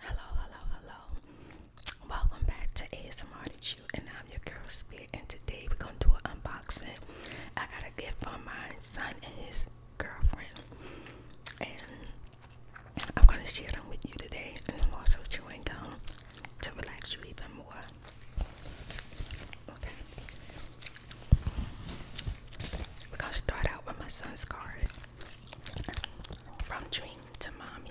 Hello, hello, hello. Welcome back to ASMR that you and I'm your girl Spirit and today we're gonna do an unboxing. I got a gift for my son and his girlfriend. And I'm gonna share them with you today and I'm also chewing gum to relax you even more. Okay. We're gonna start out with my son's card. From Dream to Mommy.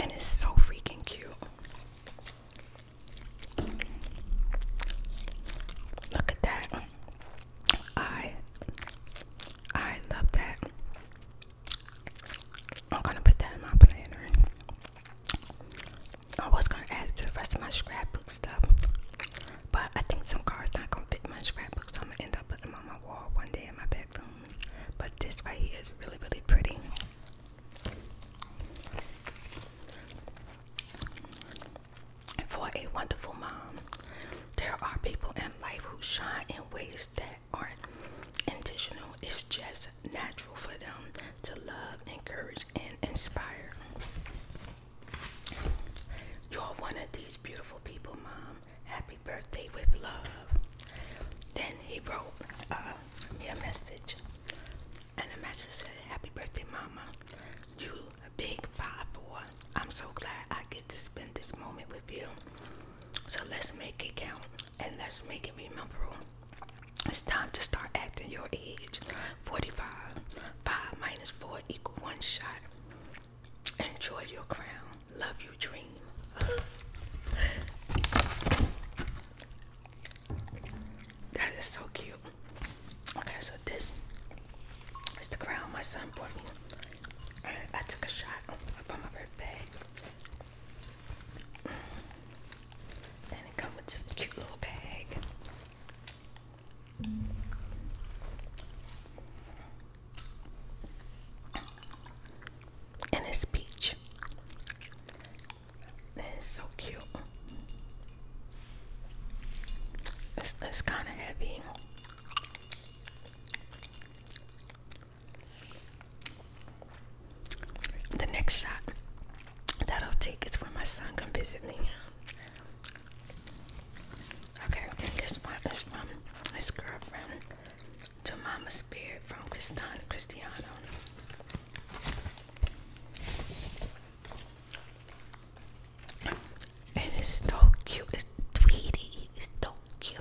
And it's so freaking cute. Look at that. I I love that. I'm gonna put that in my planner. I was gonna add it to the rest of my scrapbook stuff, but I think some cards not gonna fit my scrapbook, so I'm gonna end up putting them on my wall one day in my bedroom. But this right here is really, really pretty. For a wonderful mom, there are people in life who shine in ways that aren't intentional, it's just natural for them to love, encourage, and inspire. You're one of these beautiful people, Mom. Happy birthday with love. Then he wrote uh, me a message, and the message said, Happy birthday, Mama. You a big five four. I'm so glad I get to spend this moment with you. So let's make it count and that's making me it It's time to start acting your age. 45. 5 minus 4 equal 1 shot. Enjoy your crown. Love your dream. that is so cute. Okay, so this is the crown my son bought me. I took a shot for my birthday. And it comes with just a cute little bag. And it's peach. it's so cute. It's, it's kind of heavy. The next shot that I'll take is when my son come visit me. Okay, this one is from his girlfriend to Mama Spirit from Christian Cristiano. it's so cute. Tweety. It's so cute.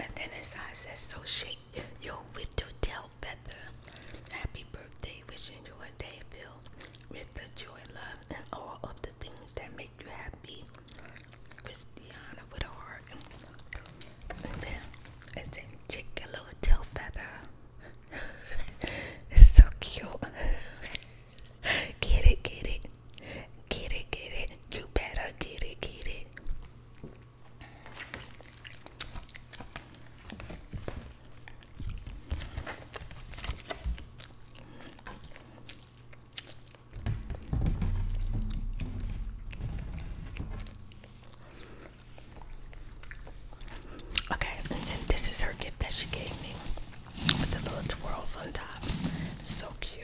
And then inside says, so shake your window tail feather. Happy birthday. Wishing you a day filled with the joy, love, and all of the things that make you happy. Christiana with a heart. And then it says, shake your little tail feather. it's so cute. Get it, get it. Get it, get it. You better get it, get it. Okay, this is her gift that she gave me with the little twirls on top. So cute.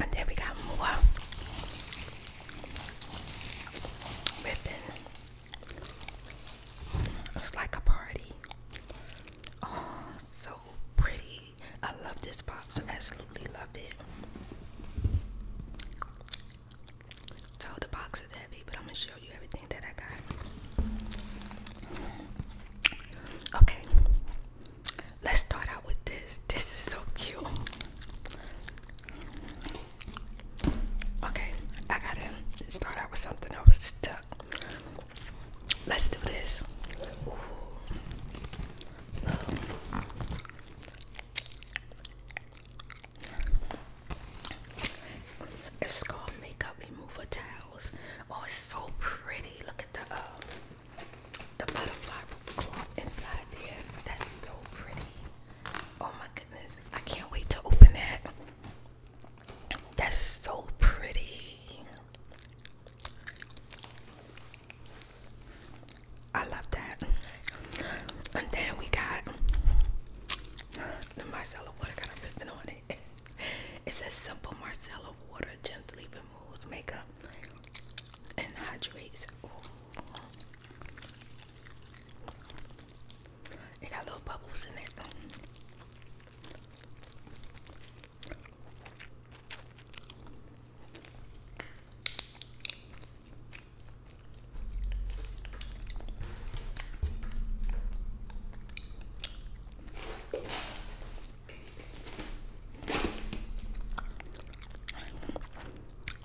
And then we got more ribbon. It's like a party. Oh, so pretty. I love this pops. Absolutely love it. So the box is but I'm gonna show you everything that I got. Okay, let's start out with this. This is so cute. Okay, I gotta start out with something else Let's do this. It's called makeup remover towels. Oh, it's so pretty. Look at the uh, the butterfly cloth inside there. That's so pretty. Oh my goodness. I can't wait to open that. That's so pretty. I love that. And then we got the Marcella water got a ribbon on it. It says simple Marcella water gently removes makeup and hydrates. It got little bubbles in it.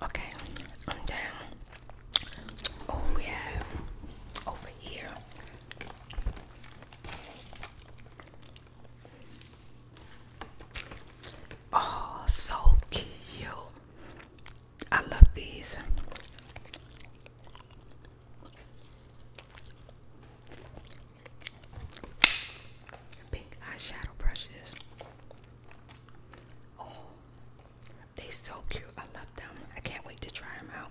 Okay, I'm down. Oh, we have over here Oh, so cute. I love these. Pink eyeshadow brushes. Oh, they so cute. I love them. I can't wait to try them out.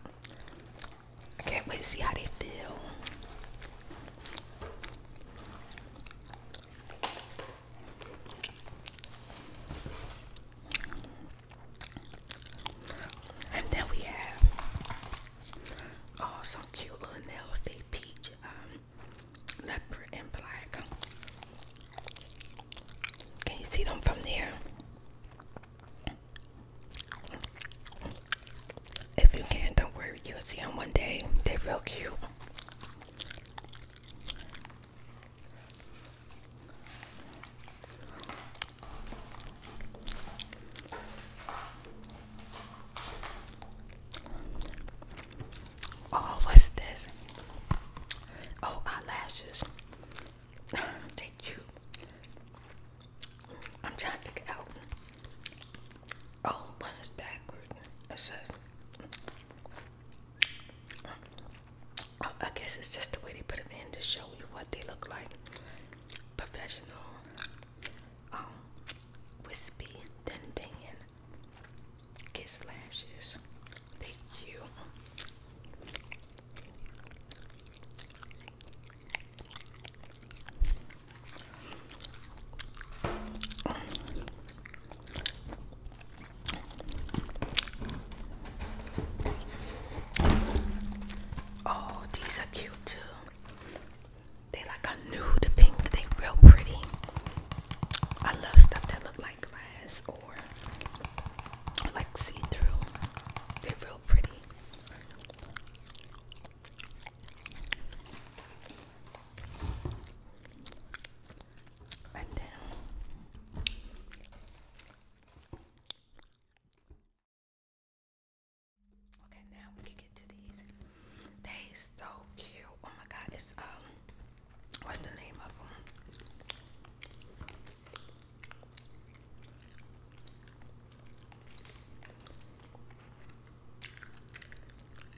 I can't wait to see how they feel. And then we have oh some cute little nails. They peach, um, leopard, and black. Can you see them from there? If you can, not don't worry, you'll see them one day. They're real cute. Oh, what's this? Oh, eyelashes. they cute. I'm trying to pick out. Oh, one is backwards. It says. Oh, I guess it's just the way they put them in to show you what they look like. Professional, um, wispy, thin band, kiss lashes. Thank you. Oh, these are cute too. They like a nude pink. They real pretty. I love stuff that look like glass or like see-through. They're real pretty. Okay, now we can get to these. They so cute. Oh my god, it's um what's the name of them?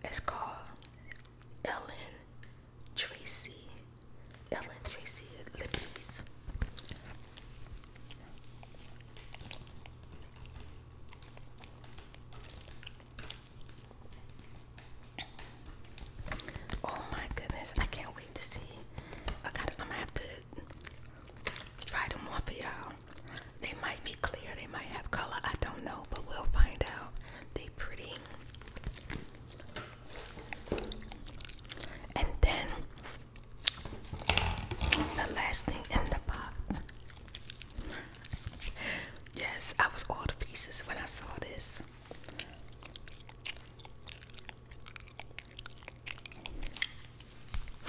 It's called Ellen Tracy. Ellen Tracy Lippies. Oh my goodness, I can't wait to see. I got I'm gonna have to Try them on for y'all. They might be clear, they might have color, I don't know, but we'll find out. They pretty. And then the last thing in the box. Yes, I was all the pieces when I saw this.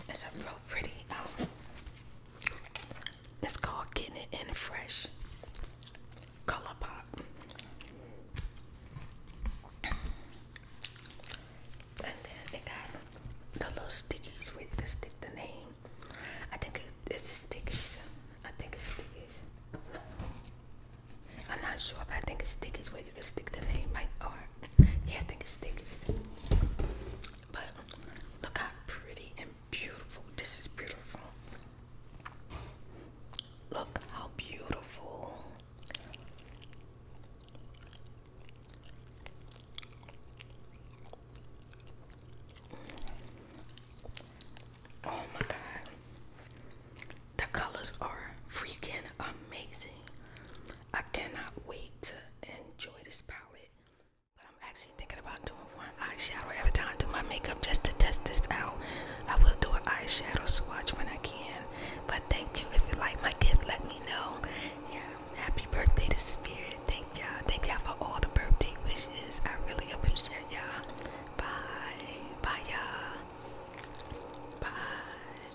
It's a real pretty um it's called Getting It In Fresh Color Pop. And then they got the little stickies where you can stick the name. I think it's the stickies. I think it's stickies. I'm not sure, but I think it's stickies where you can stick the name like or yeah, I think it's stickies. But look how pretty and beautiful. This is beautiful. Look how beautiful. Oh my god. The colors are freaking amazing. I cannot wait to enjoy this package. But I'm actually thinking about doing one eyeshadow every time I do my makeup just to test this out. I will do an eyeshadow swatch when I can. But thank you. If you like my gift, let me know. Yeah. Happy birthday to Spirit. Thank y'all. Thank y'all for all the birthday wishes. I really appreciate y'all. Bye. Bye y'all. Bye.